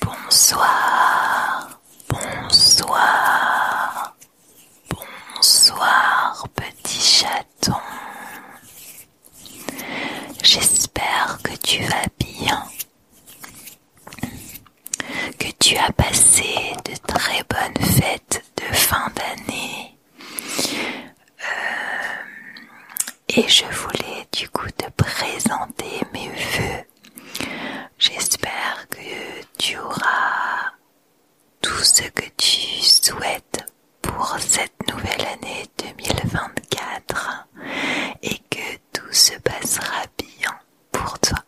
Bonsoir, bonsoir, bonsoir petit chaton. J'espère que tu vas bien, que tu as passé de très bonnes fêtes de fin d'année, euh, et je voulais du coup te présenter mes vœux. J'espère que tu auras tout ce que tu souhaites pour cette nouvelle année 2024 et que tout se passera bien pour toi.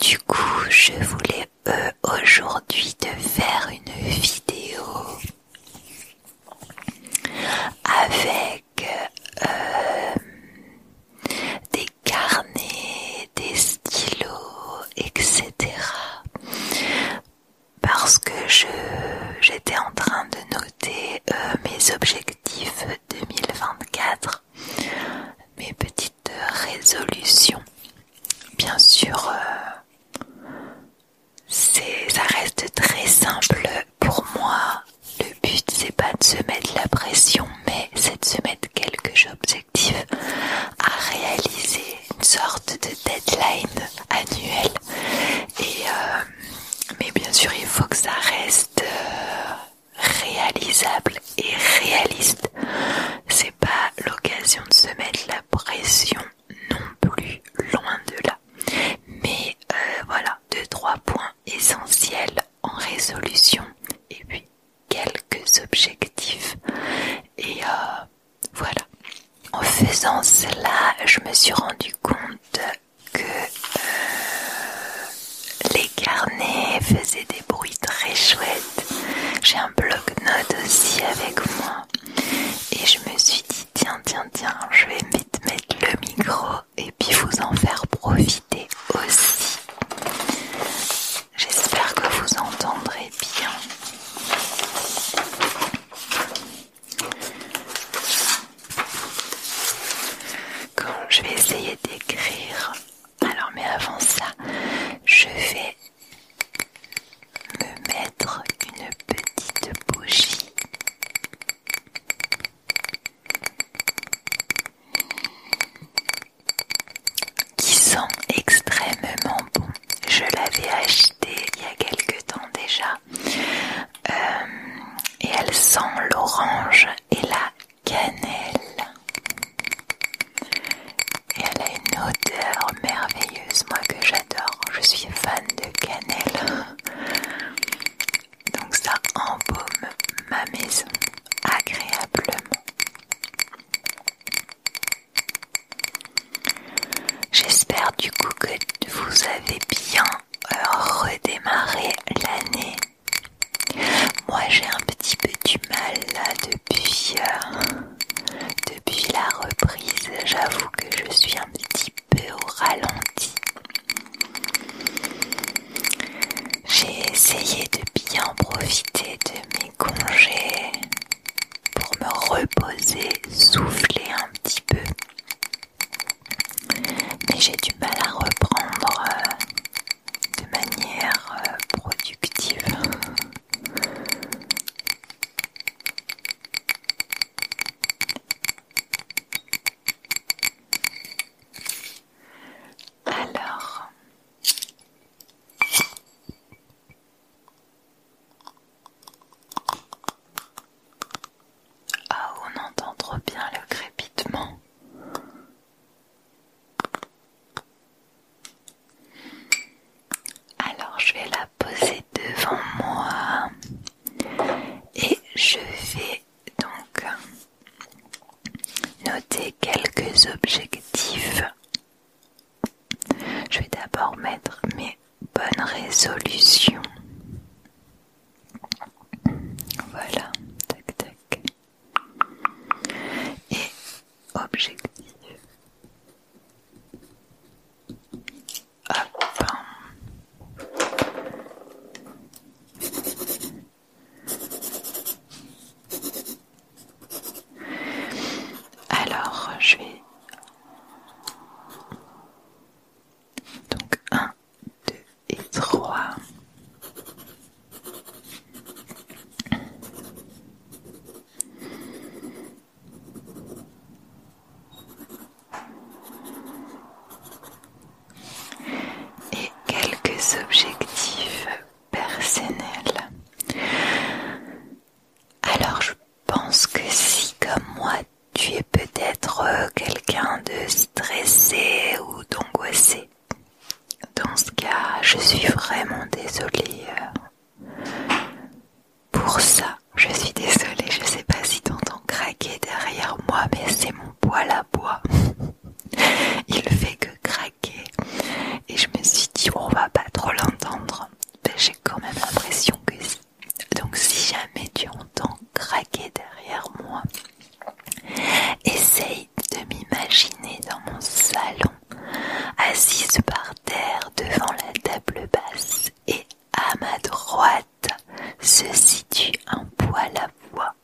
Du coup, je voulais euh, aujourd'hui te faire une vidéo avec euh, des carnets, des stylos, etc. Parce que je j'étais en train de noter euh, mes objectifs 2024, mes petites résolutions. Bien sûr, euh, c'est, ça reste très simple pour moi. Le but c'est pas de se mettre la pression, mais c'est de se mettre quelques objectifs à réaliser, une sorte de deadline annuelle. Et euh, mais bien sûr, il faut que ça reste euh, réalisable et réaliste. C'est pas l'occasion de se mettre la pression non plus, loin de là. Mais euh, voilà, deux, trois points essentiels en résolution et puis quelques objectifs. Et euh, voilà. En faisant cela, je me suis rendu compte que euh, les carnets faisaient des bruits très chouettes. J'ai un bloc note aussi avec moi. Et je me suis dit tiens tiens tiens je vais vite mettre le micro et puis vous en faire profiter aussi. J'espère que vous entendrez bien. Quand je vais essayer d'écrire, alors mais avant ça, je vais me mettre une petite bougie. Qui sent extrêmement bon. Je l'avais achetée il y a quelque temps déjà. Euh, et elle sent l'orange et la cannelle. Et elle a une odeur merveilleuse, moi que j'adore. Je suis fan de cannelle. Donc ça embaume ma maison agréablement. J'espère du coup que vous avez bien euh, redémarré l'année. Moi j'ai un petit peu du mal là depuis, euh, depuis la reprise. J'avoue que je suis un petit peu au ralenti. J'ai essayé de bien profiter de mes congés pour me reposer, souffler un petit peu. Mais j'ai du mal à reprendre euh, de manière euh, productive. Alors, ah, on entend trop bien le crépitement. Alors, je vais la poser devant moi. Et je vais donc noter quelques objectifs. Je vais d'abord mettre mes bonnes résolutions. Voilà, tac tac. Et objectif. Ah, Alors, je vais donc 1, 2 et 3 et quelques objectifs personnels. Alors je pense que si comme moi tu es peut-être euh, quelqu'un de stressé ou d'angoissé, dans ce cas je suis vraiment désolée euh, pour ça je suis désolée, je sais pas si tu entends craquer derrière moi, mais c'est mon poil à bois. Il fait que craquer. Et je me suis dit, on va pas trop l'entendre. Mais J'ai quand même l'impression que si. Donc, si jamais tu entends craquer derrière moi, essaye de m'imaginer dans mon salon, assise par terre devant la table basse et à ma droite se situe un poil à voix,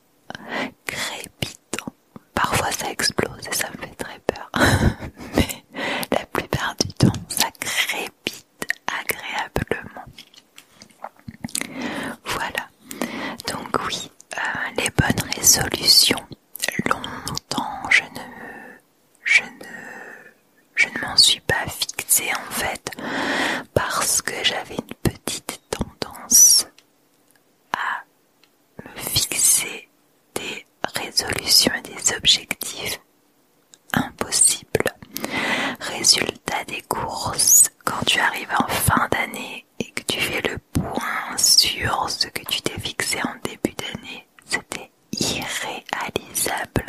crépitant. Parfois ça explose et ça me fait très peur, mais la plupart du temps ça crépite agréablement. Voilà, donc oui, euh, les bonnes résolutions. Longtemps je ne, je ne je ne m'en suis pas fixée en fait parce que j'avais une petite tendance à me fixer des résolutions et des objectifs impossibles. Résultat des courses, quand tu arrives en fin d'année et que tu fais le point sur ce que tu t'es fixé en début d'année, c'était irréalisable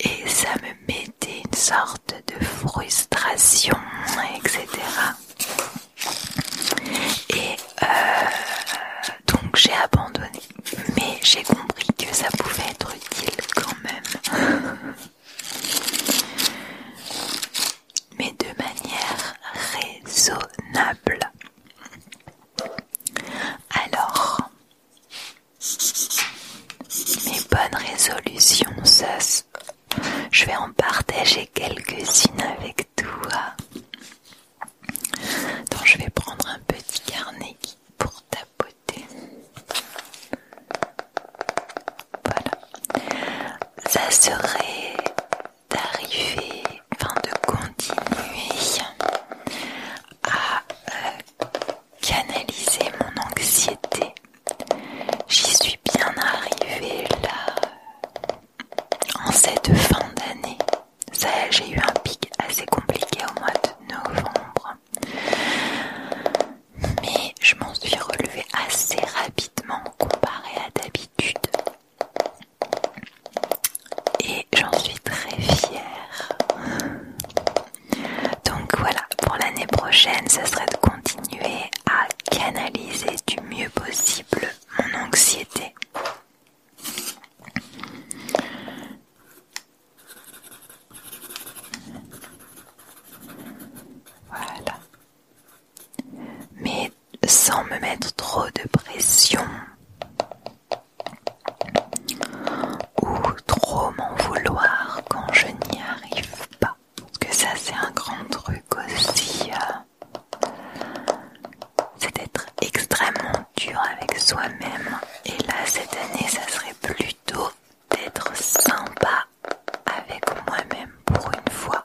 et ça me mettait une sorte de frustration, etc. Et euh, donc j'ai abandonné, mais j'ai compris que ça pouvait être utile quand même. mais de manière raisonnable. Alors, mes bonnes résolutions, je vais en partager quelques-unes avec toi. Donc je vais prendre un petit carnet pour tapoter. Voilà. Ça serait d'arriver, enfin de continuer à euh, canaliser mon anxiété. J'y suis bien arrivée là en cette fin d'année. Ça, j'ai eu un pic assez compliqué au mois de novembre. Mais je m'en suis relevée assez rapidement comparé à d'habitude. Et j'en suis très fière. Donc voilà, pour l'année prochaine, ce serait de continuer à canaliser du mieux possible mon anxiété. Voilà. Mais sans me mettre trop de pression ou trop m'en vouloir quand je n'y arrive pas. Parce que ça c'est un grand truc aussi. Euh. c'est d'être extrêmement dur avec soi-même. Et là cette année ça serait plutôt d'être sympa avec moi-même pour une fois.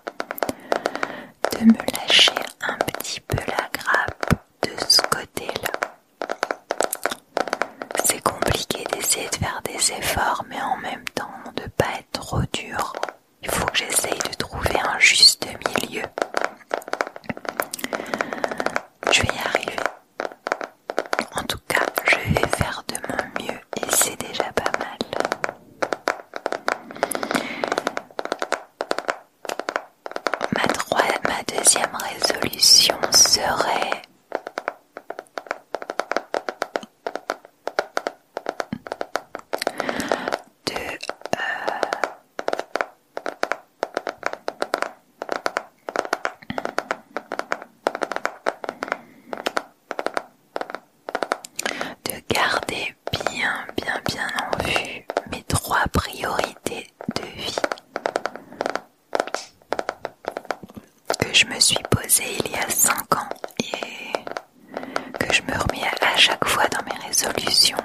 De me lâcher un petit peu la grappe de ce côté-là. C'est compliqué d'essayer de faire des efforts, mais en même temps de pas être trop dur. Il faut que j'essaye de trouver un juste milieu. Je vais y arriver. En tout cas, je vais faire de mon mieux et c'est déjà pas mal. ma deuxième résolution serait euh, de garder bien bien bien en vue mes trois priorités de vie que je me suis posée il y a 5 ans et que je me remets à chaque fois dans mes résolutions,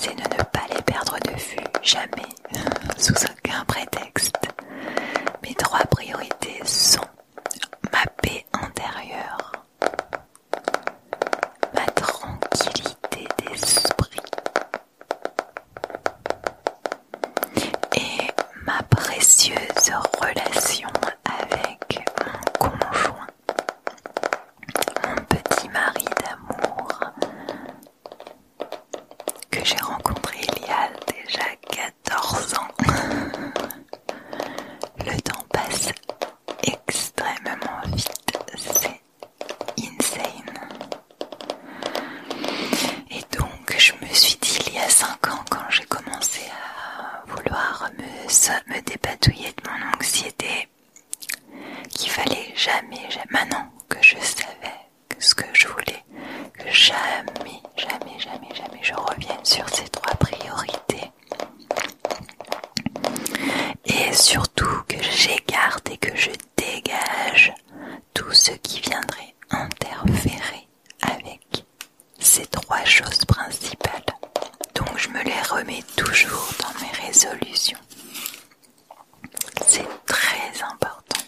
c'est de ne pas les perdre de vue, jamais, sous aucun prétexte. Mes trois priorités sont ma paix intérieure, ma tranquillité d'esprit et ma précieuse relation avec mon conjoint, mon petit mari d'amour que j'ai rencontré il y a déjà 14 ans. Le temps passe extrêmement vite, c'est insane donc je me suis dit il y a cinq ans quand j'ai commencé à vouloir me, débatouiller de mon anxiété qu'il fallait jamais, jamais, maintenant que je savais ce que je voulais, que jamais, jamais, jamais, jamais je revienne sur ces trois priorités. Et surtout que j'écarte et que je dégage tout ce qui viendrait interférer avec ces trois choses principales. Donc je me les remets toujours dans mes résolutions. C'est très important.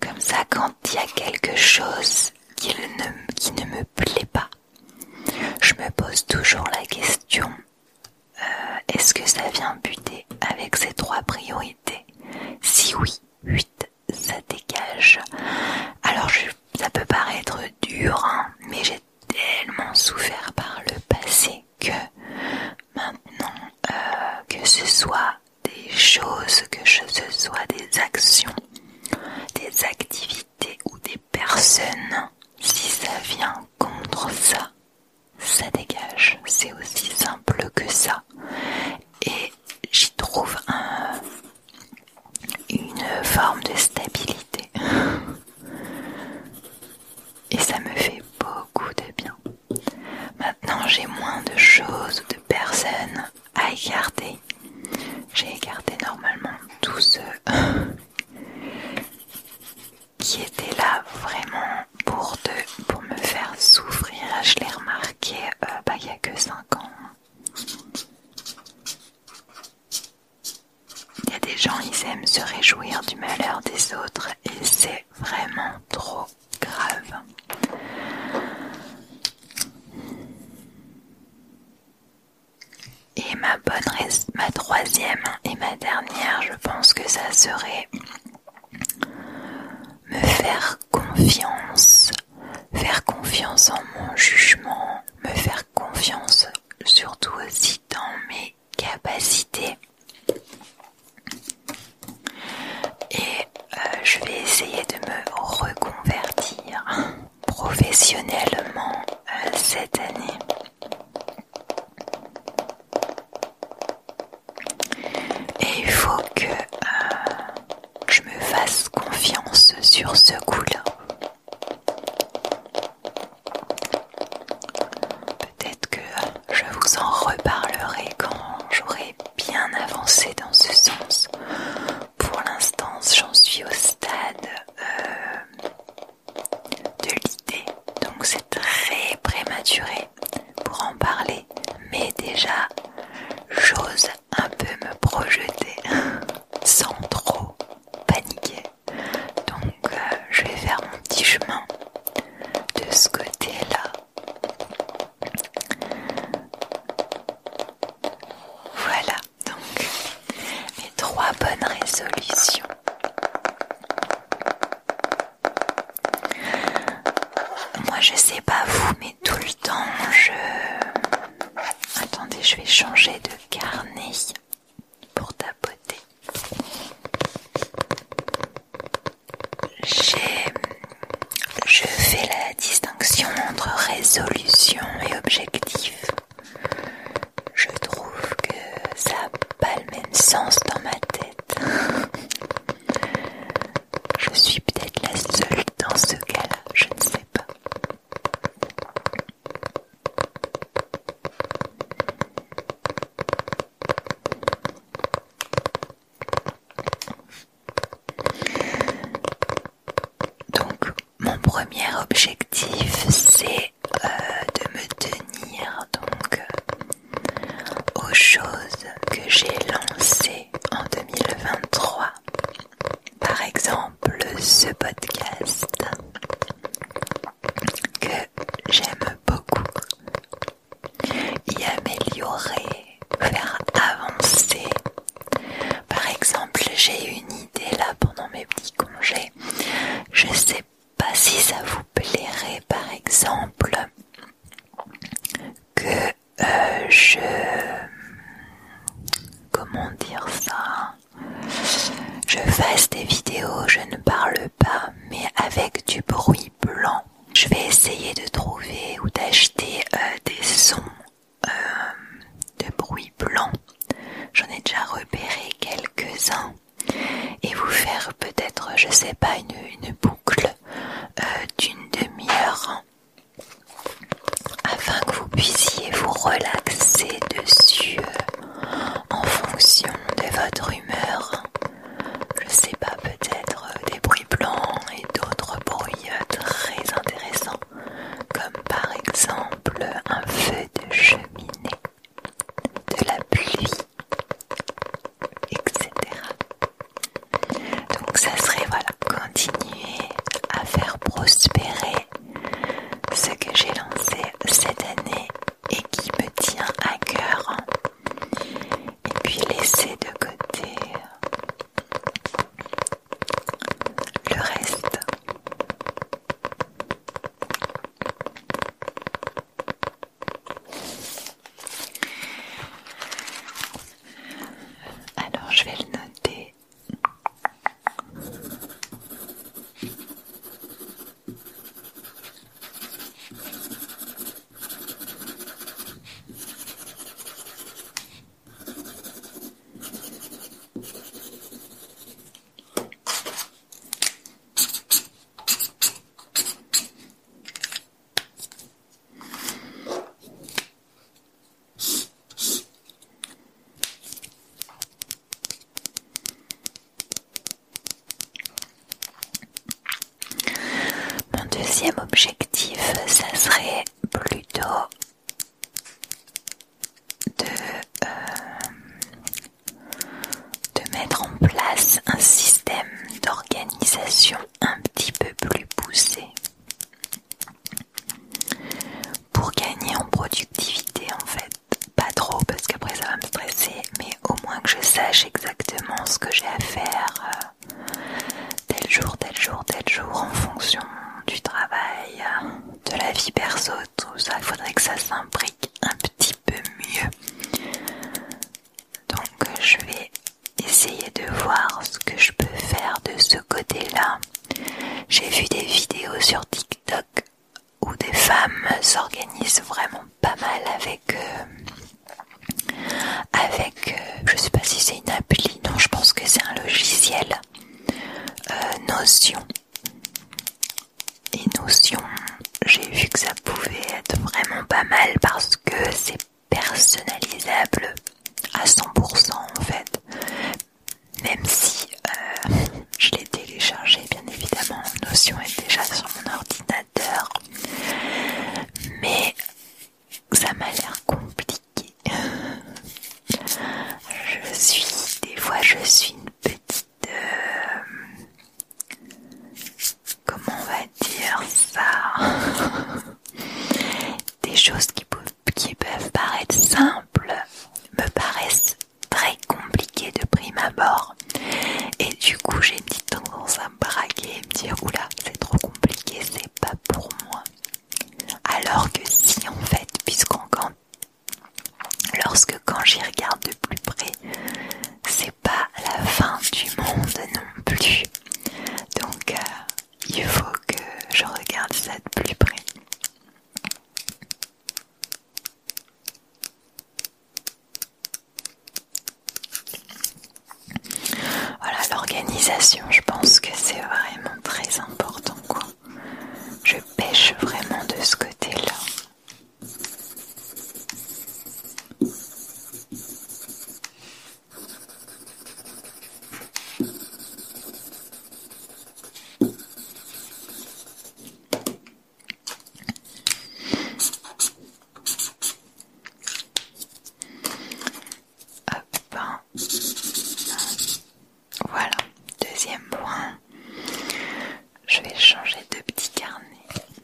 Comme ça, quand il y a quelque chose qui ne, qui ne me plaît pas, je me pose toujours la question, euh, est-ce que ça vient buter avec ces trois priorités Si oui, 8, ça dégage. Alors ça peut paraître dur, hein, mais j'ai tellement souffert par le passé que maintenant, euh, que ce soit des choses, que ce soit des actions, des activités, ou des personnes, si ça vient contre ça, ça dégage. C'est aussi simple que ça. Et j'y trouve une forme de stabilité. Et ça me fait beaucoup de bien. Maintenant, j'ai moins de choses ou de personnes à écarter. J'ai écarté normalement tous ceux qui étaient là vraiment pour, deux, pour me faire souffrir. Je l'ai remarqué euh, bah, il n'y a que 5 ans. Il y a des gens, ils aiment se réjouir du malheur des autres et c'est vraiment trop grave. Et ma bonne ma troisième et ma dernière, je pense que ça serait me faire confiance, faire confiance en mon jugement, me faire confiance surtout aussi dans mes capacités. Et euh, je vais essayer de me reconvertir professionnellement euh, cette année. Et il faut que euh, je me fasse confiance sur ce coup-là. Peut-être que je vous en reparlerai quand j'aurai bien avancé dans ce sens. Pour l'instant, j'en suis au stade euh, de l'idée, donc c'est très prématuré pour en parler, mais déjà j'ose un peu me projeter sans trop paniquer. Donc euh, je vais faire mon petit chemin de ce côté-là. Voilà donc mes trois bonnes résolutions. Moi je sais pas vous, mais tout le temps je... Attendez, je vais changer de carnet pour tapoter. Je fais la distinction entre résolution et objectif. Je trouve que ça n'a pas le même sens dans ma tête. Je suis peut-être la seule dans ce cas-là, je ne sais pas. Donc mon premier objectif, c'est euh, de me tenir donc euh, aux choses que j'ai lancées en 2023. Par exemple, ce podcast que j'aime beaucoup. Y améliorer, faire avancer par exemple, j'ai une idée là pendant mes petits congés. Je sais pas si ça vous plairait, par exemple, que euh, je... Comment dire ça Je fasse des vidéos, je ne parle pas, mais avec du bruit blanc. Je vais essayer de trouver ou d'acheter euh, des sons euh, de bruits blanc J'en ai déjà repéré quelques-uns. Et vous faire peut-être, je sais pas, une, boucle euh, d'une demi-heure afin que vous puissiez vous relaxer dessus euh, en fonction de votre humeur. Je sais pas, peut-être des bruits blancs et d'autres bruits très intéressants, comme par exemple un feu de cheminée, de la pluie, etc. Donc ça serait voilà, continuer à faire prospérer ce que j'ai lancé cette année et qui me tient à cœur. Et puis laisser de côté le reste. Alors je vais le noter. Mon deuxième objectif, ça serait plutôt euh, de, mettre en place un système d'organisation un petit peu plus poussé pour gagner en productivité en fait. Pas trop parce qu'après ça va me stresser, mais au moins que je sache exactement ce que j'ai à faire euh, tel jour, tel jour, tel jour en fonction du travail de la vie perso, tout ça, il faudrait que ça s'imbrique un petit peu mieux. Donc je vais essayer de voir ce que je peux faire de ce côté-là. J'ai vu des vidéos sur TikTok où des femmes s'organisent vraiment pas mal avec... Euh, avec... Euh, je sais pas si c'est une appli, non, je pense que c'est un logiciel. Euh, Notion et Notion, j'ai vu que ça pouvait être vraiment pas mal parce que c'est personnalisable à 100% en fait. Même si euh, je l'ai téléchargé, bien évidemment, Notion est déjà sur mon ordinateur. Mais ça m'a l'air compliqué. Je suis, des fois, je suis une petite de... Euh, comment on va dire ça Des choses qui peuvent, qui peuvent paraître simples me paraissent très compliquées de prime abord. Et du coup j'ai une petite tendance à me braquer et me dire oula c'est trop compliqué, c'est pas pour moi. Alors que si en fait, puisqu'en Lorsque quand j'y regarde de plus près, c'est pas la fin du monde non plus. Donc euh, il faut que je regarde ça de plus près. Voilà l'organisation, je pense que c'est vraiment très important quoi. Je pêche vraiment de ce côté-là. Voilà, deuxième point. Je vais changer de petit carnet.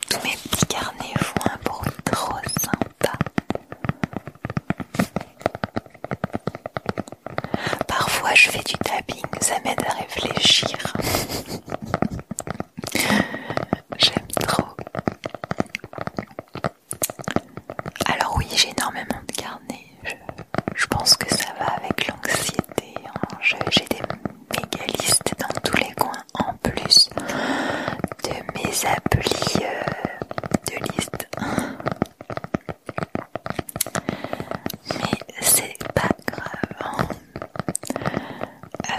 Tous mes petits carnets font un bruit trop sympa. Parfois je fais du tapping, ça m'aide à réfléchir. J'aime trop. Alors oui, j'ai énormément de carnets je, pense que ça va avec l'anxiété. Hein. J'ai des méga listes dans tous les coins en plus de mes applis euh, de liste. Mais c'est pas grave. Hein. Euh,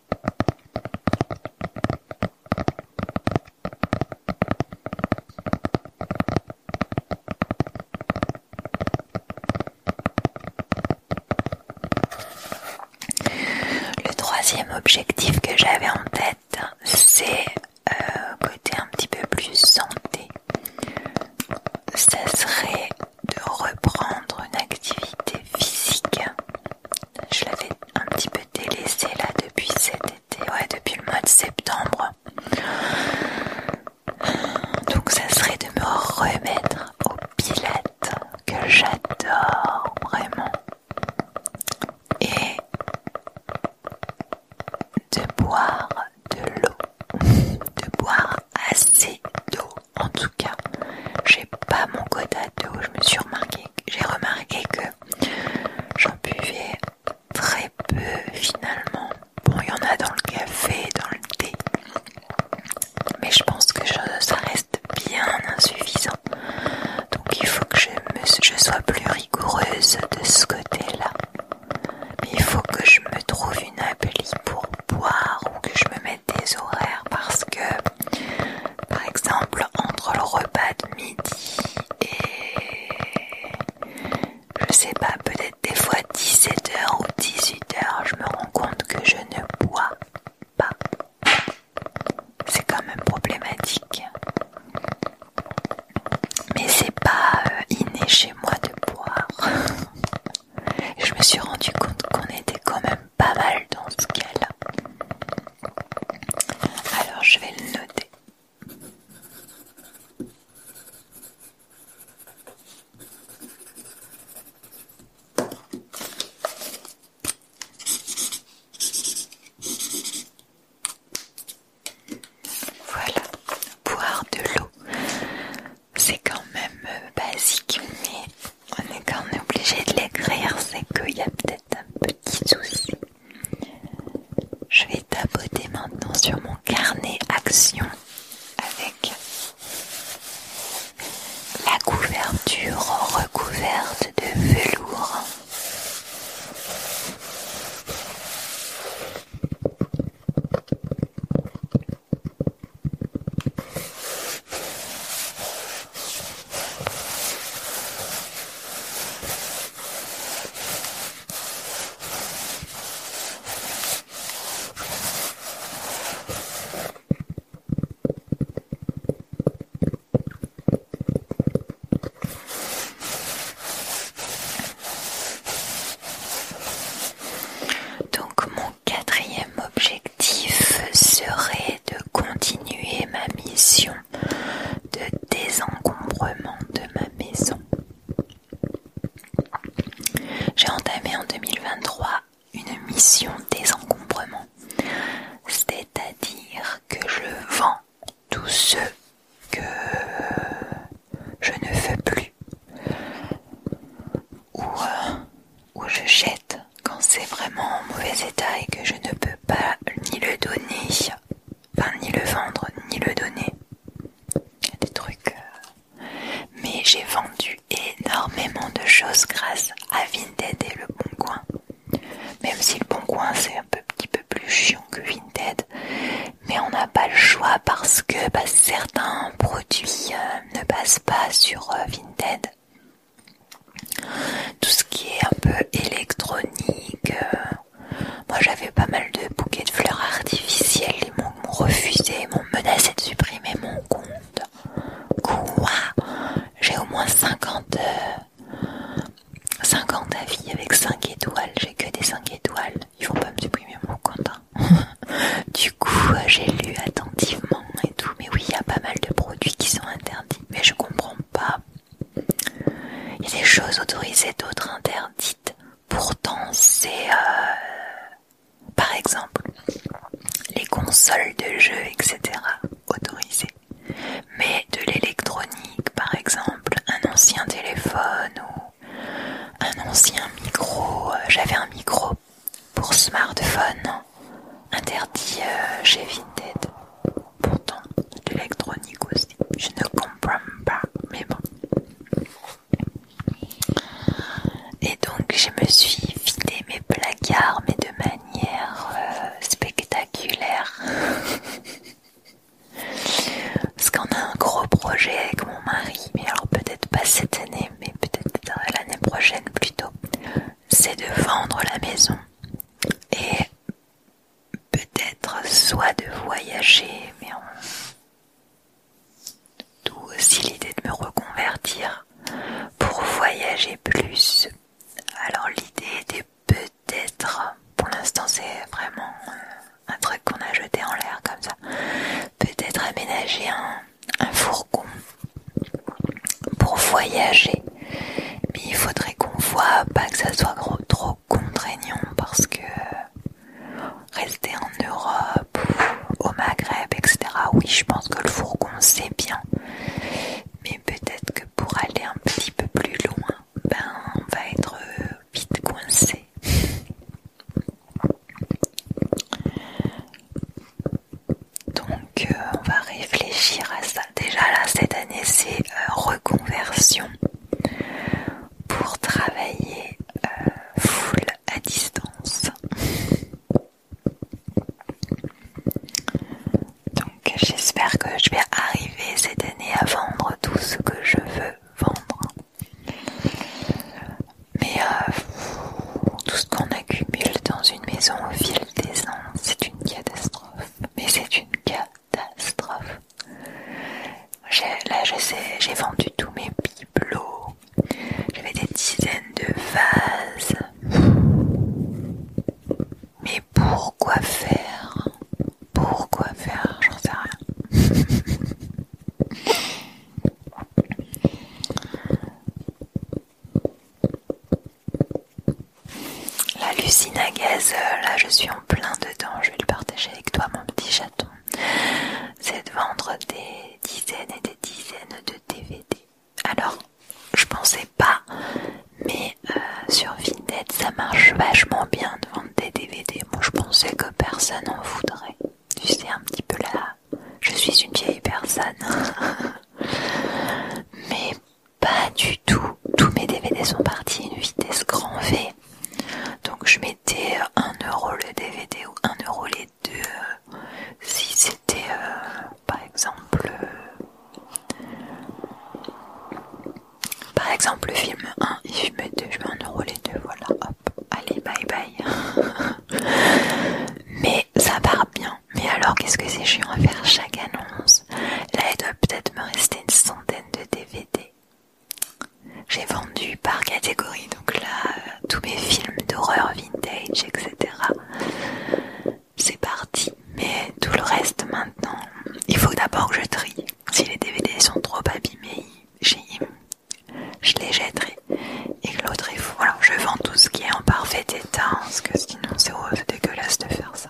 Le troisième objectif que j'avais en tête, c'est euh, côté un petit peu plus santé. Ce serait de reprendre une activité physique je l'avais un petit peu délaissé là depuis cet été, ouais, depuis le mois de septembre. Donc ça serait de me remettre au pilates que j'adore vraiment et de boire de l'eau, de boire assez d'eau en tout cas. J'ai pas mon quota d'eau, je me suis remarqué j'ai remarqué que j'en buvais très peu finalement. Bon, il y en a dans le café, dans le thé, mais je pense que ça reste bien insuffisant. Donc il faut que je, sois plus rigoureuse de ce côté-là. il faut que je me trouve une appli pour boire ou que je me mette des horaires parce que par exemple, entre le repas de midi et je sais pas, peut-être des fois 17h ou 18h, je me rends compte que je ne bois pas. C'est quand même problématique. Mais c'est pas euh, inné chez moi de boire. je me suis rendu compte qu'on était quand même pas mal dans ce cas-là. Alors je vais le noter. Voilà, boire de l'eau, c'est quand même euh, basique, mais on est quand même obligé de l'écrire, c'est qu'il y a peut-être un petit je vais tapoter maintenant sur mon carnet action avec la couverture recouverte de velours. Donc mon quatrième objectif serait de continuer ma mission de désencombrement de ma maison. J'ai entamé en 2023 une mission désencombrement, c'est-à-dire que je vends tout ce que je ne veux plus ou, euh, je jette quand c'est vraiment en mauvais état et que je ne peux pas ni le donner, enfin ni le vendre, ni le donner. Des trucs. Euh, mais j'ai vendu énormément de choses grâce à Vinted et le Bon Coin. Même si le Bon Coin c'est un peu, petit peu plus chiant que Vinted, mais on n'a pas le choix parce que bah, certains produits euh, ne passent pas sur euh, Vinted tout ce qui est un peu électronique. Euh, moi j'avais pas mal de bouquets de fleurs artificielles, ils m'ont refusé, ils m'ont menacé de supprimer mon compte. Quoi J'ai au moins 50, 50 euh, avis avec 5 étoiles, j'ai que des 5 étoiles, ils vont pas me supprimer mon compte. Hein. du coup euh, j'ai lu attentivement et tout, mais oui il y a pas mal de produits qui sont interdits, mais je comprends pas il y a des choses autorisées, d'autres interdites. Pourtant, c'est... Euh, par exemple, les consoles de jeux, etc. autorisées. Mais de l'électronique, par exemple, un ancien téléphone ou un ancien micro. Euh, j'avais un micro pour smartphone interdit euh, chez Vinted. Pourtant, l'électronique aussi. Je ne comprends pas, mais bon. Et donc, je me suis vidé mes placards, mais de manière euh, spectaculaire. Parce qu'on a un gros projet avec mon mari, mais alors peut-être pas cette année, mais peut-être l'année prochaine plutôt, c'est de vendre la maison. Et peut-être soit de voyager, mais on... d'où aussi l'idée de me reconvertir pour voyager plus. Alors l'idée était peut-être, pour l'instant c'est vraiment un truc qu'on a jeté en l'air comme ça, peut-être aménager un, un fourgon pour voyager mais il faudrait qu'on voit pas que ça soit trop contraignant parce que rester en Europe au Maghreb, etc. Oui, je pense que le fourgon c'est bien. Mais peut-être que pour aller un petit peu plus loin, ben on va être vite coincé. Donc euh, on va réfléchir à ça déjà là cette année c'est euh, reconversion pour travailler euh, full à distance. Donc j'espère que je vais arriver cette année à vendre tout ce que je veux vendre. Mais euh, tout ce qu'on accumule dans une maison au fil des ans, c'est une catastrophe. Mais c'est une catastrophe catastrophe. Là, je sais, j'ai vendu tous mes bibelots. J'avais des dizaines de vases. Mais pourquoi faire Pourquoi faire J'en sais rien. La lucine à gaz, euh, là je suis en plein dedans, je vais le partager avec toi mon petit chaton. C'est de vendre des dizaines et des dizaines de DVD. Alors, je pensais pas, mais euh, sur Vinted ça marche vachement bien de vendre des DVD. Moi je pensais que personne en voudrait. Tu sais un petit peu là, je suis une vieille personne. mais pas du tout. Tous mes DVD sont partis à une vitesse grand V. Donc je mettais 1€ euh, le DVD ou 1€ les deux. Euh, si c'était euh, par exemple... par exemple le film 1 et film 2, je mets 1€ les deux. Voilà, hop. Allez, bye bye. Mais ça part bien. Mais alors qu'est-ce que c'est chiant en faire chaque annonce Là, il doit peut-être me rester une centaine de DVD. J'ai vendu par catégorie, donc là, euh, tous mes films d'horreur vintage, etc. C'est parti. Mais tout le reste maintenant, il faut d'abord que je trie. Si les DVD sont trop abîmés, je les jetterai. Et que l'autre est fou. Alors, je vends tout ce qui est en parfait état, parce que sinon c'est dégueulasse de faire ça.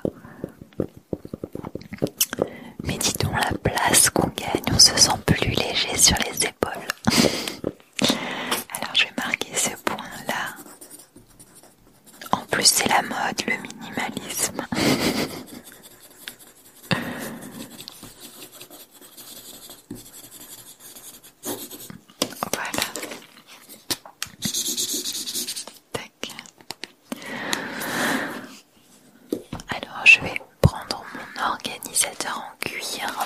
Mais dis la place qu'on gagne, on se sent plus léger sur les épaules. Alors je vais marquer ce point là. En plus c'est la mode, le minimalisme. voilà. Alors je vais prendre mon organisateur en cuir.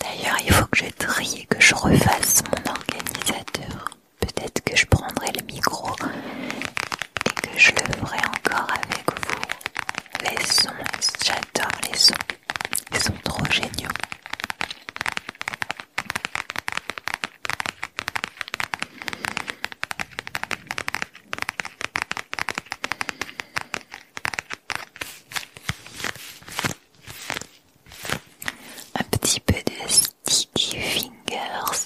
D'ailleurs, il faut que je trie que je refasse mon organisateur. Peut-être que je prendrai le micro et que je le ferai encore avec vous. Les sons, j'adore les sons. Ils sont trop géniaux. Un petit peu de sticky fingers.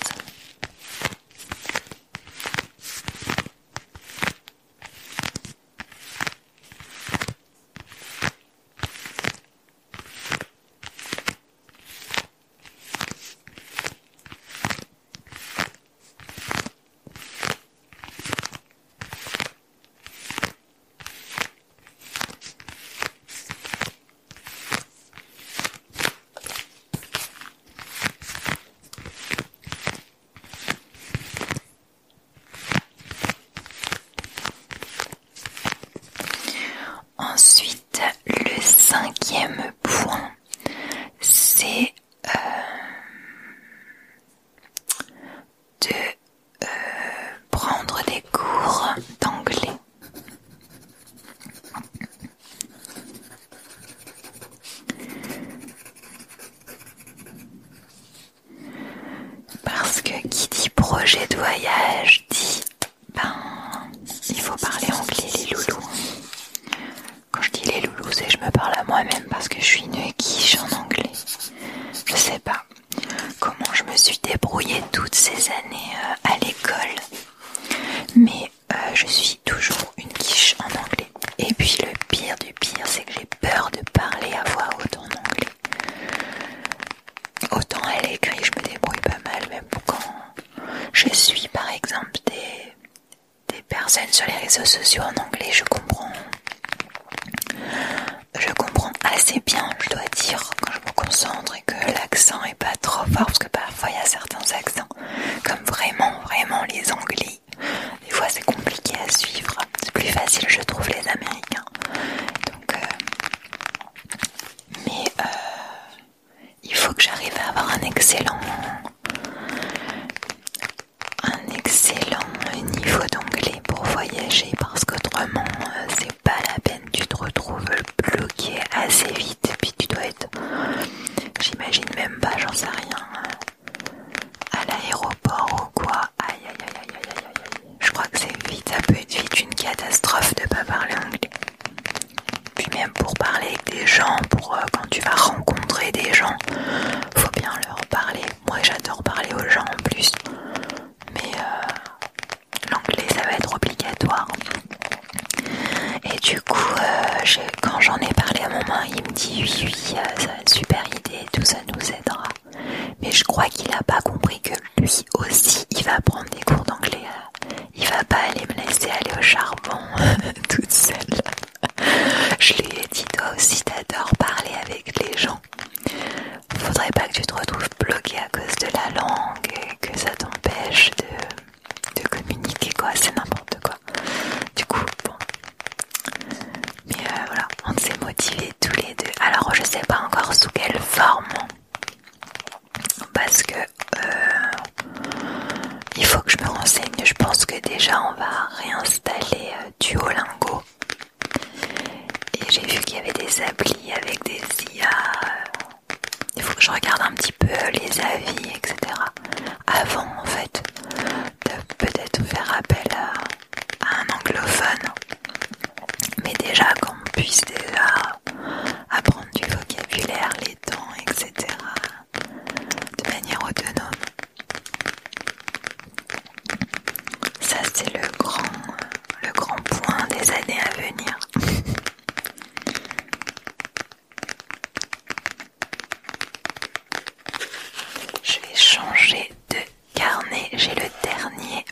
Ensuite, le cinquième point, c'est euh, de euh, prendre des cours d'anglais. Parce que qui dit projet de voyage dit ben il faut parler anglais les loulous. Quand je dis les loulous, c'est je me parle à moi-même parce que je suis une quiche en anglais. Je sais pas comment je me suis débrouillée toutes ces années euh, à l'école, mais euh, je suis toujours une quiche en anglais. Et puis le pire du pire, c'est que j'ai peur de parler à voix haute en anglais. Autant à l'écrit, je me débrouille pas mal, même quand je suis par exemple des des personnes sur les réseaux sociaux en anglais, je comprends. Je comprends assez bien, je dois dire, quand je me concentre et que l'accent est pas trop fort, parce que parfois il y a certains accents, comme vraiment, vraiment les anglais. Des fois c'est compliqué à suivre, c'est plus facile, je trouve, les américains. Donc, euh, mais euh, il faut que j'arrive à avoir un excellent un excellent niveau d'anglais pour voyager parce qu'autrement euh, c'est pas la peine, tu te retrouves bloqué assez vite puis tu dois être, j'imagine même pas, j'en sais rien, euh, à l'aéroport ou quoi, aïe aïe aïe aïe aïe je crois que c'est vite, ça peut être vite une catastrophe de pas parler anglais, puis même pour parler avec des gens, pour euh, quand tu vas rencontrer des gens, faut bien leur parler. Moi j'adore parler aux gens en plus, mais euh, l'anglais ça va être obligatoire. Et du coup, euh, quand j'en ai parlé à mon maman, il me dit oui, oui, euh, ça va super idée, tout ça nous aidera. Mais je crois qu'il a pas compris que lui aussi il va prendre des cours d'anglais. Il va pas aller me laisser aller au charbon toute seule. Je lui ai dit toi aussi t'adores parler avec les gens. Faudrait pas que tu te retrouves bloqué à cause de la langue et que ça t'empêche de, communiquer quoi, c'est n'importe quoi. Du coup, Mais euh, voilà, on s'est motivés tous les deux. Alors je sais pas encore sous quelle forme. Parce que euh, il faut que je me renseigne. Je pense que déjà on va réinstaller Duolingo. Et j'ai vu qu'il y avait des applis avec des IA. Il faut que je regarde un petit peu les avis, etc. Avant, en fait, de peut-être faire appel à, un anglophone. Mais déjà, qu'on puisse déjà apprendre du vocabulaire, les temps, etc de manière autonome. Ça c'est le grand, le grand point des années à venir. Je vais changer de carnet, j'ai le dernier.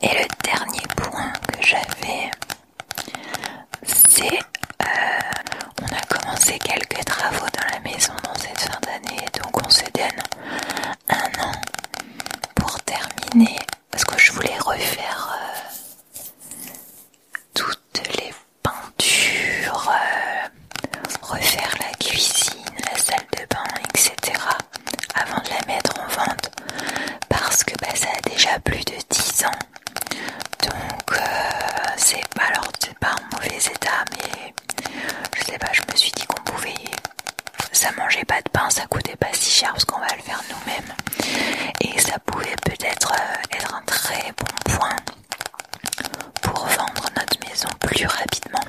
Et le dernier point que j'avais c'est euh, on a commencé quelques travaux dans la maison dans cette fin d'année donc on se donne un an pour terminer parce que je voulais refaire euh, toutes les peintures euh, refaire la cuisine la salle de bain etc avant de la mettre en vente parce que bah, ça a déjà plus de 10 ans donc euh, c'est pas en mauvais état mais je sais pas je me suis dit qu'on pouvait ça mangeait pas de pain ça coûtait pas si cher parce qu'on va le faire nous-mêmes et ça pouvait peut-être euh, être un très bon point pour vendre notre maison plus rapidement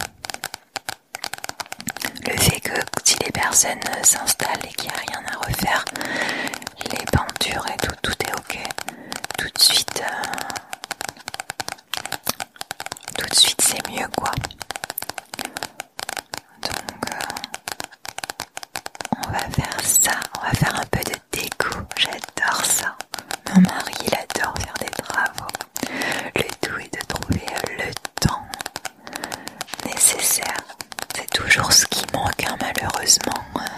le fait que si les personnes s'installent et qu'il n'y a rien à refaire les peintures et tout tout est ok. Tout de suite, euh, tout de suite c'est mieux quoi. Donc euh, on va faire ça, on va faire un peu de déco, j'adore ça. Mon mari il adore faire des travaux. Le tout est de trouver le temps nécessaire. C'est toujours ce qui manque hein, malheureusement hein.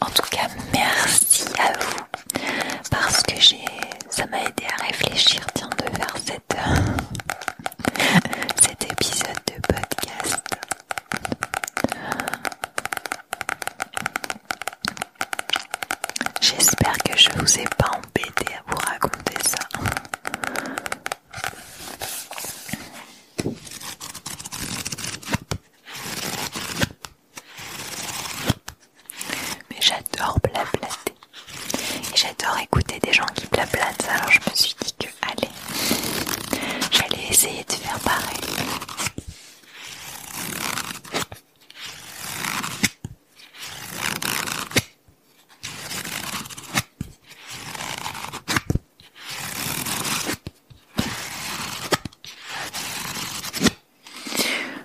En tout cas, merci à vous parce que j'ai, ça m'a aidé à réfléchir, tiens, de faire cet épisode de podcast. J'espère que je vous ai pas embêté à vous raconter ça. Mais j'adore blablater. Et j'adore écouter des gens qui blablatent. Alors je me suis dit que, allez, j'allais essayer de faire pareil.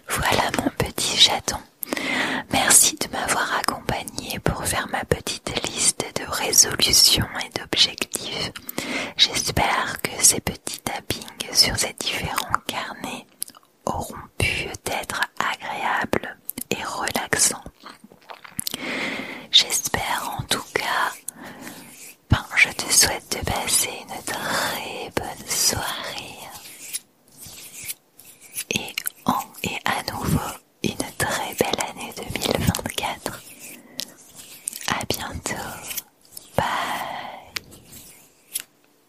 Voilà mon petit chaton. Merci de m'avoir accompagné pour faire ma petite liste de résolutions et d'objectifs. J'espère que ces petits tappings sur ces différents carnets auront pu être agréables et relaxants. J'espère en tout cas, ben, je te souhaite de passer une très bonne soirée et, en, et à nouveau une très belle année 2024. À bientôt. Bye.